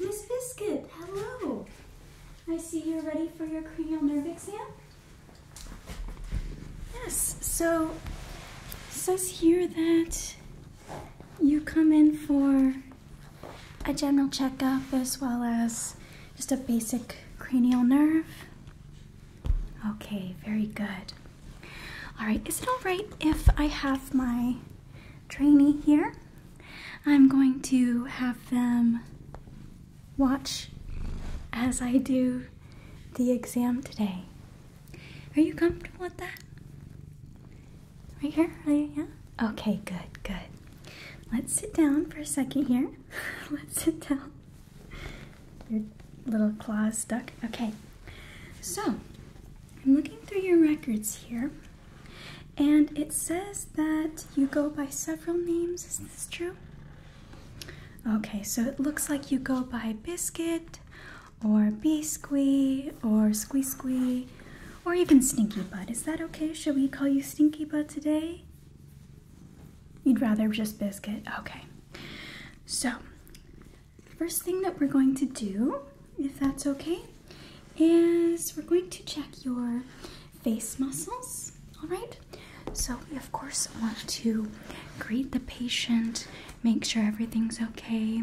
Miss Biscuit, hello. I see you're ready for your cranial nerve exam. Yes, so it says here that you come in for a general checkup as well as just a basic cranial nerve. Okay, very good. All right, is it all right if I have my trainee here? I'm going to have them watch as I do the exam today. Are you comfortable with that? Right here? Yeah? Okay, good, good. Let's sit down for a second here. Let's sit down. Your little claws stuck. Okay. So, I'm looking through your records here, and it says that you go by several names. Is this true? Okay, so it looks like you go by Biscuit, or Bisquee, or Squee Squee, or even Stinky Butt. Is that okay? Should we call you Stinky Butt today? You'd rather just biscuit? Okay. So, first thing that we're going to do, if that's okay, is we're going to check your face muscles, all right? So we of course want to greet the patient, make sure everything's okay,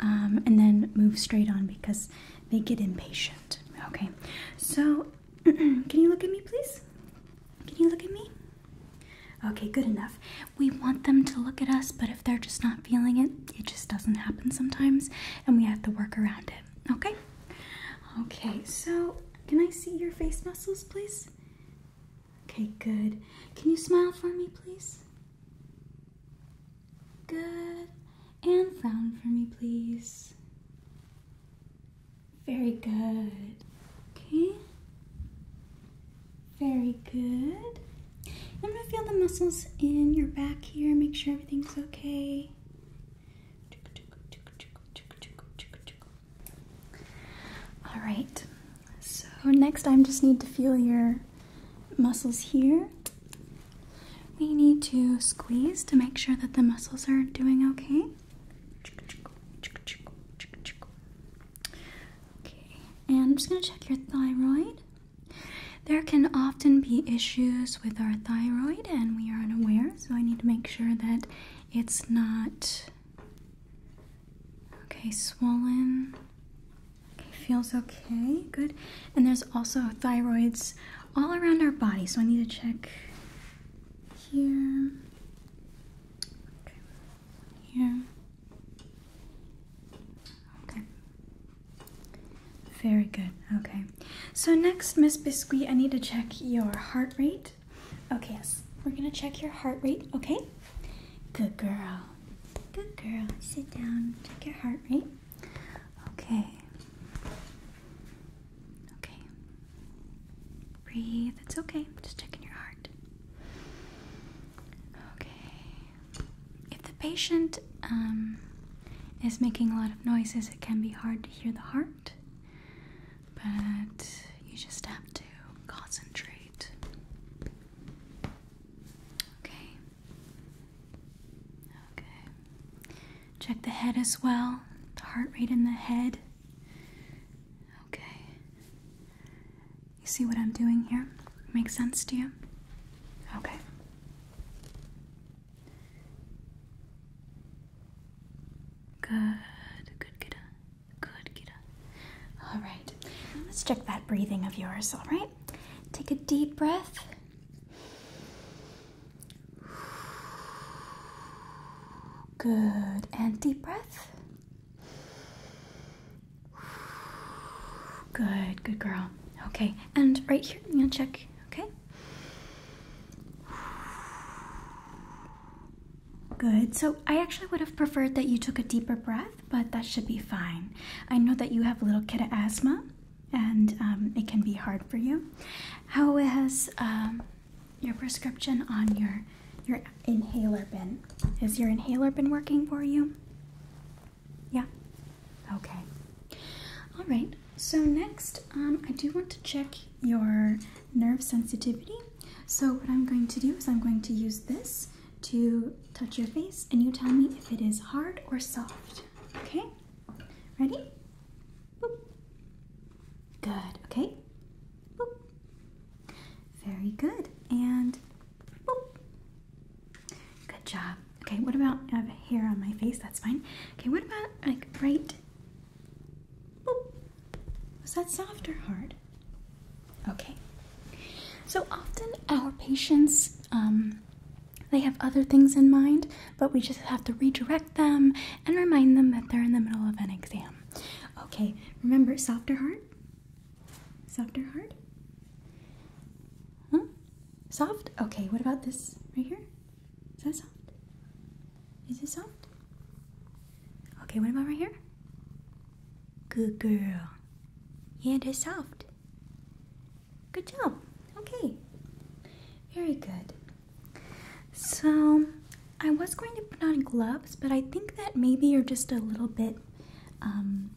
um, and then move straight on because they get impatient, okay? So Can you look at me, please? Can you look at me? Okay, good enough. We want them to look at us, but if they're just not feeling it, it just doesn't happen sometimes, and we have to work around it. Okay? Okay, so can I see your face muscles, please? Okay, good. Can you smile for me, please? Good. And frown for me, please. Very good. Okay. Very good. I'm going to feel the muscles in your back here, make sure everything's okay. All right. So, next, I just need to feel your muscles here we need to squeeze to make sure that the muscles are doing okay. Okay, and I'm just going to check your thyroid. There can often be issues with our thyroid, and we are unaware, so I need to make sure that it's not okay, swollen. Okay, feels okay, good. And there's also thyroids all around our body. So I need to check here, here. Okay. Very good. Okay. So next, Miss Biscuit, I need to check your heart rate. Okay, yes. We're gonna check your heart rate, okay? Good girl. Good girl. Sit down. Check your heart rate. Okay. Okay. Breathe. It's okay. Just checking your heart. Okay. If the patient um, is making a lot of noises, it can be hard to hear the heart, but you just have to concentrate. Okay. Okay. Check the head as well, the heart rate in the head. Okay. You see what I'm doing here? Makes sense to you? Okay. Good, good, Gita. Good, Gita. All right. Let's check that breathing of yours, all right? Take a deep breath. Good. And deep breath. Good, good girl. Okay, and right here, I'm gonna check, okay? Good. So I actually would have preferred that you took a deeper breath, but that should be fine. I know that you have a little kid asthma, and um, it can be hard for you. How has um, your prescription on your your inhaler been? Has your inhaler been working for you? Yeah. Okay. All right. So next, um, I do want to check your nerve sensitivity. So what I'm going to do is I'm going to use this to touch your face, and you tell me if it is hard or soft. Okay. Ready? Good, okay? Very good. And Good job. Okay, what about have hair on my face? That's fine. Okay, what about like right? Was that soft or hard? Okay. So often our patients, um, they have other things in mind but we just have to redirect them and remind them that they're in the middle of an exam. Okay, remember softer heart? Softer heart? Huh? Soft? Okay, what about this right here? Is that soft? Is it soft? Okay, what about right here? Good girl. Yeah, it is soft. Good job. Okay. Very good. So I was going to put on gloves, but I think that maybe you're just a little bit, um,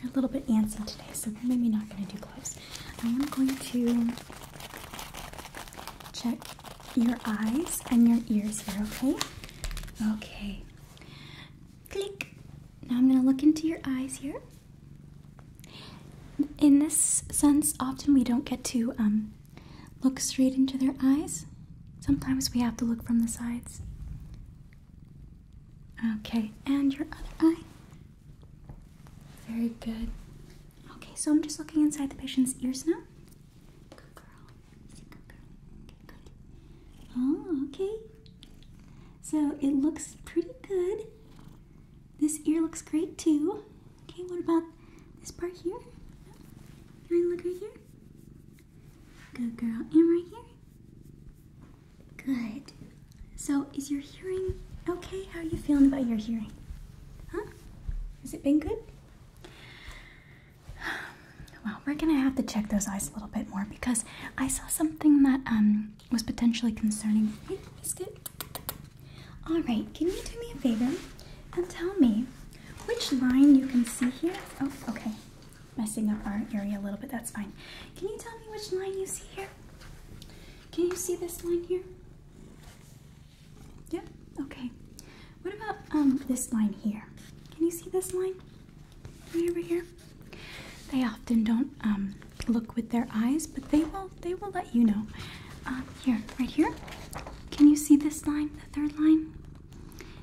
you're a little bit antsy today, so maybe not going to do gloves. I am going to check your eyes and your ears here, okay? Okay. Click. Now I'm going to look into your eyes here. In this sense, often we don't get to um, look straight into their eyes. Sometimes we have to look from the sides. Okay, and your other eye. Very good. Okay, so I'm just looking inside the patient's ears now. Good girl. Good girl. Okay, good. Oh, okay. So it looks pretty good. This ear looks great too. Okay, what about this part here? Can I look right here? Good girl. Am I here? Good. So, is your hearing okay? How are you feeling about your hearing? Huh? Has it been good? Well, we're gonna have to check those eyes a little bit more because I saw something that um, was potentially concerning. Hey, biscuit. Alright, can you do me a favor and tell me which line you can see here? Oh, okay. Messing up our area a little bit, that's fine. Can you tell me which line you see here? Can you see this line here? Yep, okay. What about um, this line here? Can you see this line? Right over here? They often don't um, look with their eyes, but they will they will let you know. Um, here, right here. Can you see this line, the third line?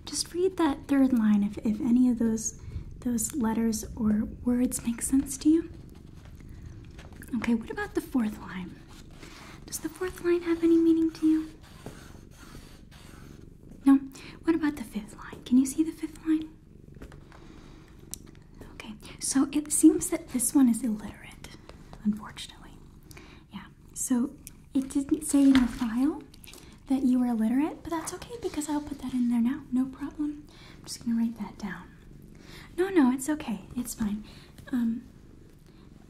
Just read that third line if, if any of those those letters or words make sense to you. Okay, what about the fourth line? Does the fourth line have any meaning to you? No. What about the fifth line? Can you see the fifth line? Okay, so it seems that this one is illiterate, unfortunately. Yeah, so it didn't say in the file that you were illiterate, but that's okay because I'll put that in there now. No problem. I'm just gonna write that down. No, no, it's okay. It's fine. Um,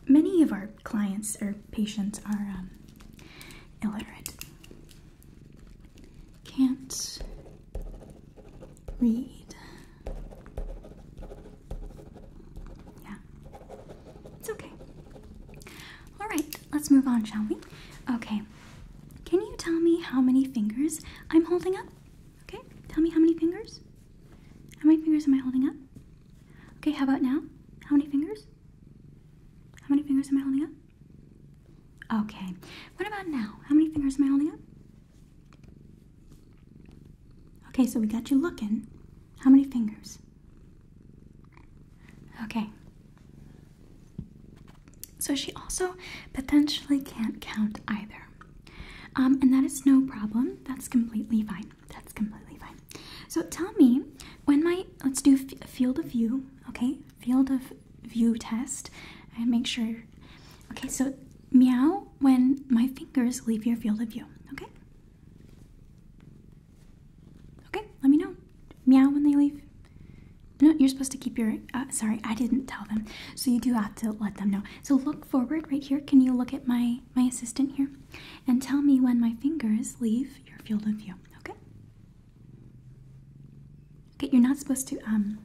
many of our clients or patients are um, illiterate. Can't read. Yeah, it's okay. All right, let's move on, shall we? Okay, can you tell me how many fingers I'm holding up? Okay, tell me how many fingers. How many fingers am I holding up? Okay, how about now? How many fingers? How many fingers am I holding up? Okay, what about now? How many fingers am I holding up? Okay, so we got you looking. How many fingers? Okay. So she also potentially can't count either. Um, and that is no problem. That's completely fine. That's completely fine. So tell me when my, let's do field of view, okay? Field of view test and make sure Okay, so meow when my fingers leave your field of view. Okay? Okay, let me know. Meow when they leave. No, you're supposed to keep your. Uh, sorry, I didn't tell them. So you do have to let them know. So look forward right here. Can you look at my my assistant here, and tell me when my fingers leave your field of view? Okay. Okay, you're not supposed to um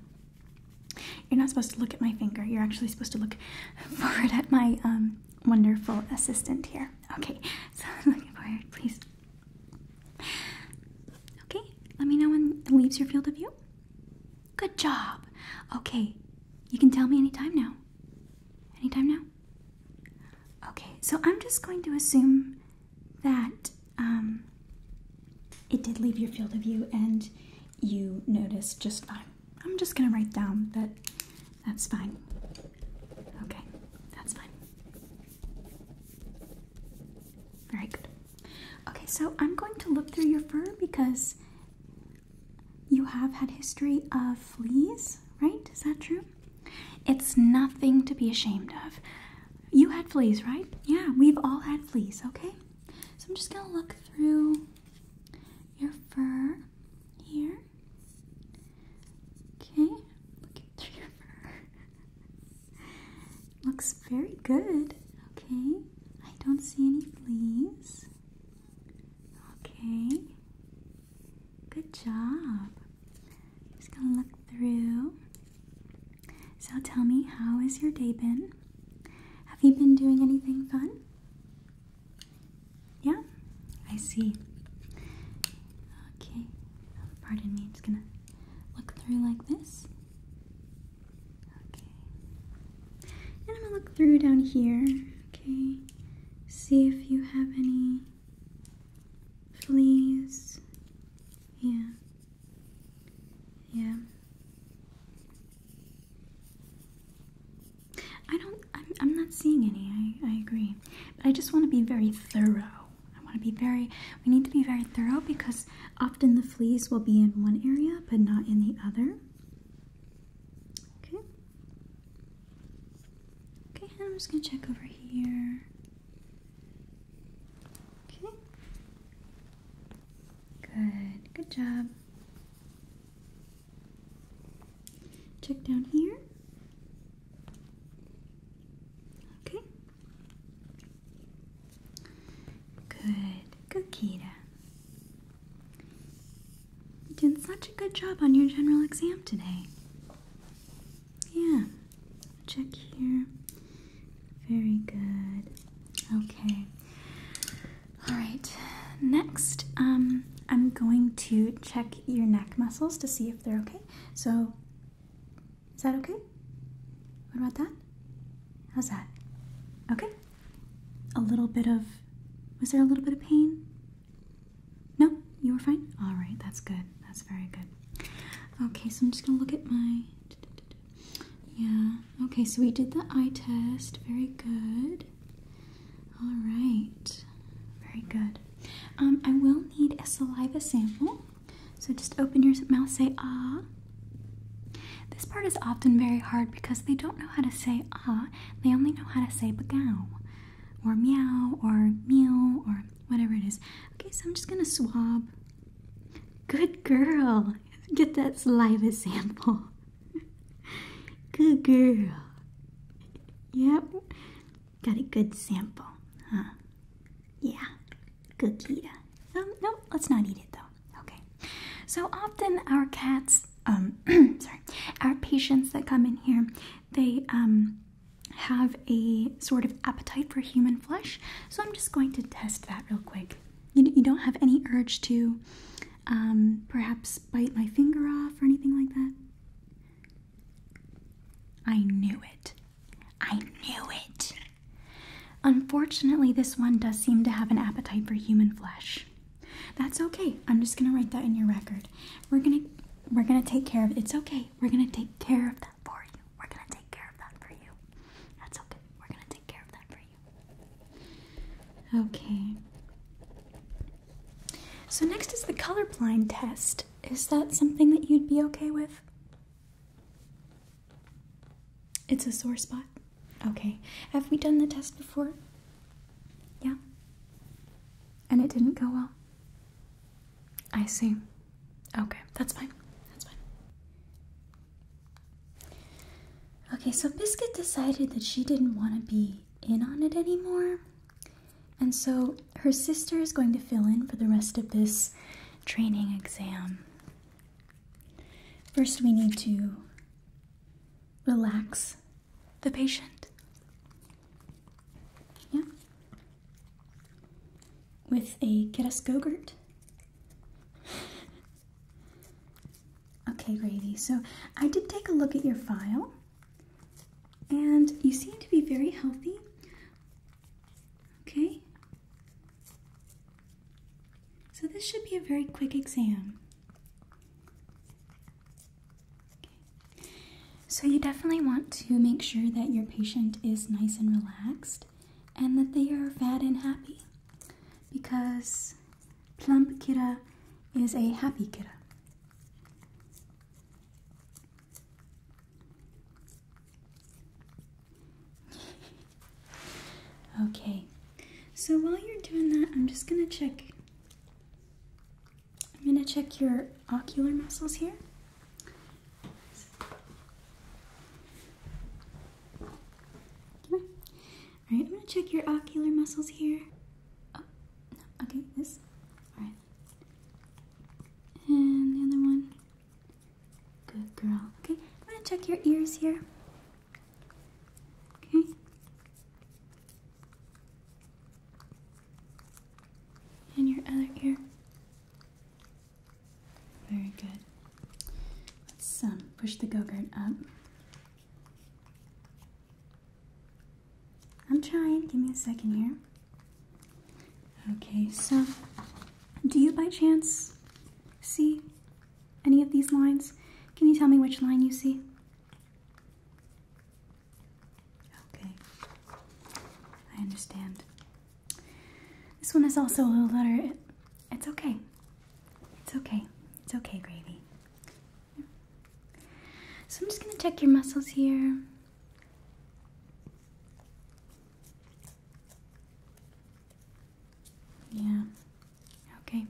you're not supposed to look at my finger. You're actually supposed to look forward at my um, wonderful assistant here. Okay, so I'm looking forward, please. Okay, let me know when it leaves your field of view. Good job. Okay, you can tell me anytime now. Anytime now? Okay, so I'm just going to assume that um, it did leave your field of view and you noticed just fine. I'm just gonna write down that that's fine. Okay, that's fine. Very good. Okay, so I'm going to look through your fur because you have had history of fleas, right? Is that true? It's nothing to be ashamed of. You had fleas, right? Yeah, we've all had fleas, okay? So I'm just gonna look through your fur here. Okay, looking through your fur. Looks very good. Okay, I don't see any fleas. Okay, good job. Just gonna look through. So tell me, how has your day been? Have you been doing anything fun? Yeah, I see. Okay, pardon me, it's gonna look through like this. Okay. And I'm gonna look through down here, okay? See if you have any fleas. Yeah. Yeah. I don't. I'm, not seeing any. I, agree, but I just want to be very thorough. I want to be very. We need to be very thorough because often the fleas will be in one area but not in the other. Okay. Okay, I'm just gonna check over here. Okay. Good. Good job. Check down here. Okay. Good. Good, Kira. You did such a good job on your general exam today. Yeah. Check here. Very good. Okay. All right, next, um, I'm going to check your neck muscles to see if they're okay. So, is that okay? What about that? How's that? Okay. A little bit of, was there a little bit of pain? No, you were fine? All right, that's good. That's very good. Okay, so I'm just gonna look at my, yeah. Okay, so we did the eye test. Very good. All right, very good. Um, I will need a saliva sample. So just open your mouth, say ah. This part is often very hard because they don't know how to say ah. They only know how to say bagow or meow or meow or whatever it is. Okay, so I'm just gonna swab. Good girl. Get that saliva sample good girl. Yep. Got a good sample, huh? Yeah. Good Kita. Um, no, let's not eat it though. Okay. So often our cats, um, sorry, our patients that come in here, they um have a sort of appetite for human flesh. So I'm just going to test that real quick. You, you don't have any urge to um, perhaps bite my finger off or anything like that? I knew it. I knew it. Unfortunately, this one does seem to have an appetite for human flesh. That's okay. I'm just going to write that in your record. We're going to we're going to take care of it. It's okay. We're going to take care of that for you. We're going to take care of that for you. That's okay. We're going to take care of that for Okay. So, next is the colorblind test. Is that something that you'd be okay with? It's a sore spot? Okay. Have we done the test before? Yeah. And it didn't go well? I see. Okay, that's fine. That's fine. Okay, so Biscuit decided that she didn't want to be in on it anymore. And so her sister is going to fill in for the rest of this training exam. First, we need to relax the patient. Yeah. With a Keras Gogurt. Okay, Grady, so I did take a look at your file, and you seem to be very healthy. Okay? So this should be a very quick exam. So you definitely want to make sure that your patient is nice and relaxed and that they are fat and happy because Plump Kira is a happy Kira. okay, so while you're doing that, I'm just gonna check. I'm gonna check your ocular muscles here. All right, I'm gonna check your ocular muscles here. Oh, okay, this. All right. And the other one. Good girl. Okay, I'm gonna check your ears here. Okay. And your other ear. Very good. Let's um, push the go-gurt up. I'm trying. Give me a second here. Okay, so do you by chance see any of these lines? Can you tell me which line you see? Okay, I understand. This one is also a little letter. it's okay. It's okay. It's okay, Gravy. So I'm just going to check your muscles here. Yeah. Okay.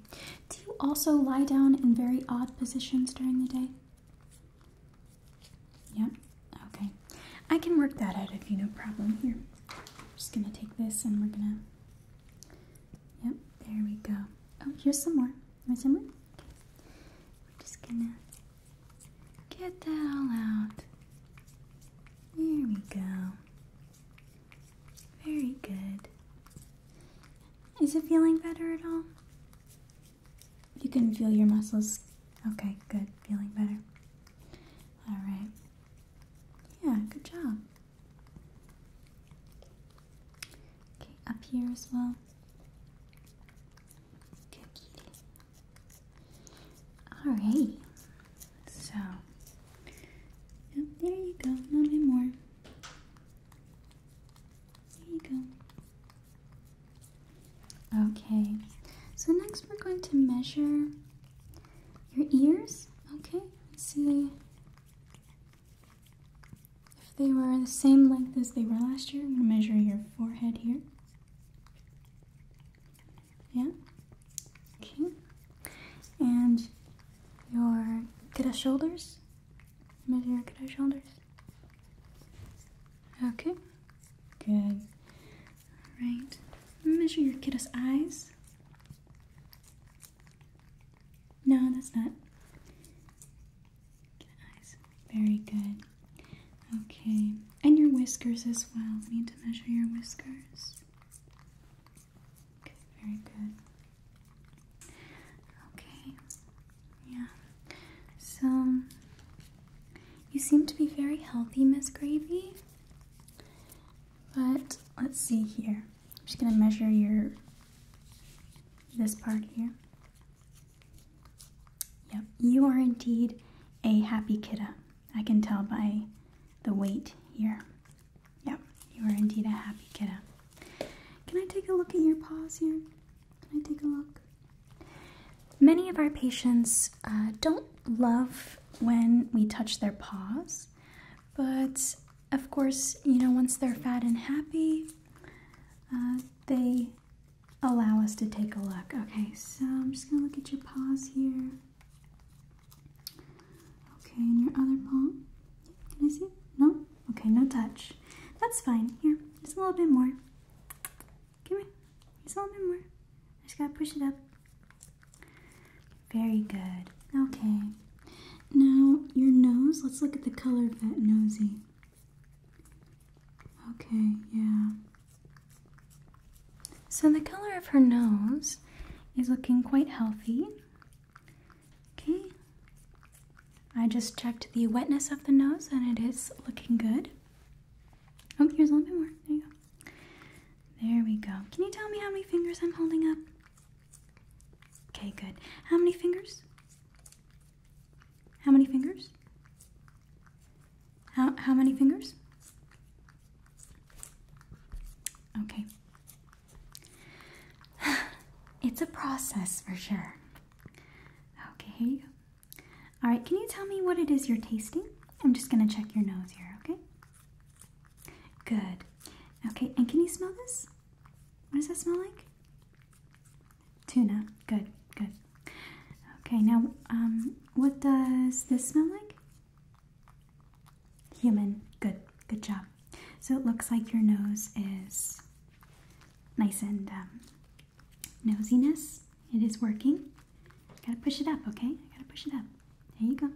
Do you also lie down in very odd positions during the day? Yeah. Okay. I can work that out if you no problem here. I'm just going to take this and we're going to Yep, there we go. Oh, here's some more. Want some more? Okay. We're just gonna get that all out. There we go. Very good. Is it feeling better at all? You can feel your muscles. Okay, good. Feeling better. All right. Yeah, good job. Okay, up here as well. Good Alright, so there you go, a little bit more. There you go. Okay, so next we're going to measure your ears. Okay, let's see if they were the same length as they were last year, I'm going to measure your forehead here. Yeah? Okay. And your good shoulders. Measure your good shoulders. Okay. Good. All right. Measure your kiddo's eyes. No, that's not. Very good. Okay. And your whiskers as well. We need to measure your whiskers. Okay, very good. Okay. Yeah. So you seem to be very healthy, Miss Gravy. But let's see here. I'm just gonna measure your this part here. Yep, you are indeed a happy kidda. I can tell by the weight here. Yep, you are indeed a happy kidda. Can I take a look at your paws here? Can I take a look? Many of our patients uh, don't love when we touch their paws, but of course, you know, once they're fat and happy, uh, they allow us to take a look. Okay, so I'm just gonna look at your paws here. Okay, and your other paw. Can I see? No? Okay, no touch. That's fine. Here, just a little bit more. Come here. Just a little bit more. I just gotta push it up. Very good. Okay. Now, your nose, let's look at the color of that nosy. Okay, yeah. So the color of her nose is looking quite healthy. Okay. I just checked the wetness of the nose and it is looking good. Oh, here's a little bit more. There you go. There we go. Can you tell me how many fingers I'm holding up? Okay, good. How many fingers? How many fingers? How, how many fingers? Okay. It's a process for sure. Okay, here you go. All right, can you tell me what it is you're tasting? I'm just gonna check your nose here, okay? Good. Okay, and can you smell this? What does that smell like? Tuna. Good, good. Okay, now um, what does this smell like? Human. Good, good job. So it looks like your nose is nice and um, nosiness. It is working. Gotta push it up, okay? I gotta push it up. There you go.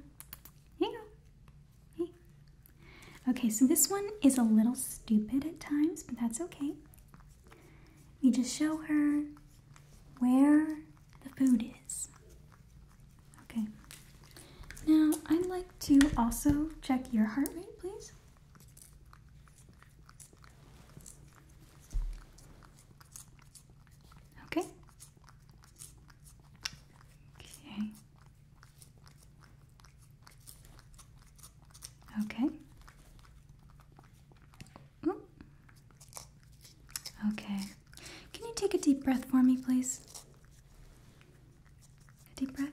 There you go. Hey. Okay, so this one is a little stupid at times, but that's okay. We just show her where the food is. Okay. Now, I'd like to also check your heart rate, please. Okay. Okay. Okay. Oh. Okay. Can you take a deep breath for me, please? A deep breath.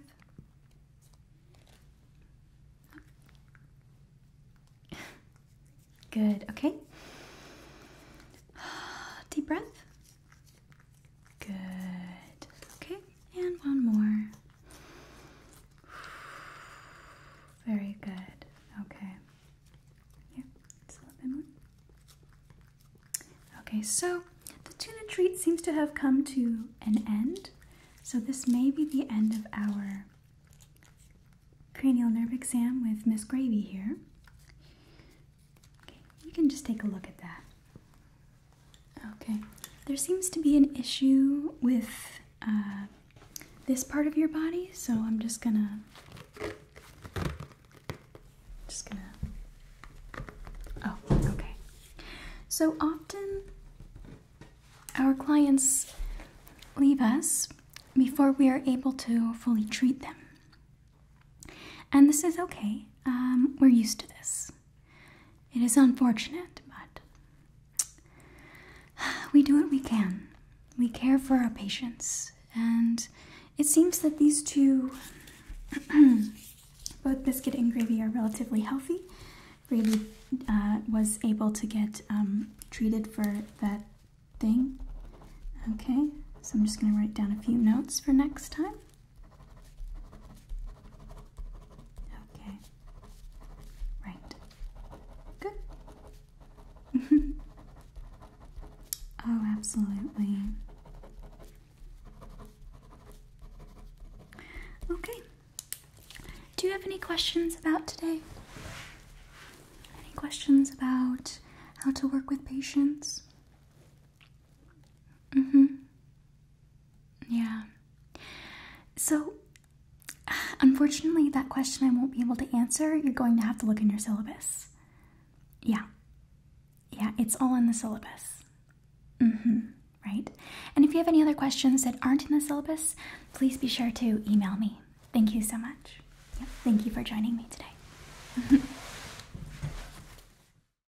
Good. Okay. Deep breath. Good. Okay, and one more. Very good. Okay. Yep, it's a little bit more. Okay, so the tuna treat seems to have come to an end. So this may be the end of our cranial nerve exam with Miss Gravy here. Okay, you can just take a look at that. Okay. There seems to be an issue with uh, this part of your body, so I'm just gonna just gonna oh okay so often our clients leave us before we are able to fully treat them and this is okay um, we're used to this it is unfortunate, but we do what we can. We care for our patients, and it seems that these two, both biscuit and gravy, are relatively healthy. Gravy uh, was able to get um, treated for that thing. Okay, so I'm just going to write down a few notes for next time. Okay. Right. Good. oh, absolutely. Okay. Do you have any questions about today? Any questions about how to work with patients? Mm hmm. Yeah. So, unfortunately, that question I won't be able to answer. You're going to have to look in your syllabus. Yeah. Yeah, it's all in the syllabus. Mm hmm. Right? And if you have any other questions that aren't in the syllabus, please be sure to email me. Thank you so much. Thank you for joining me today.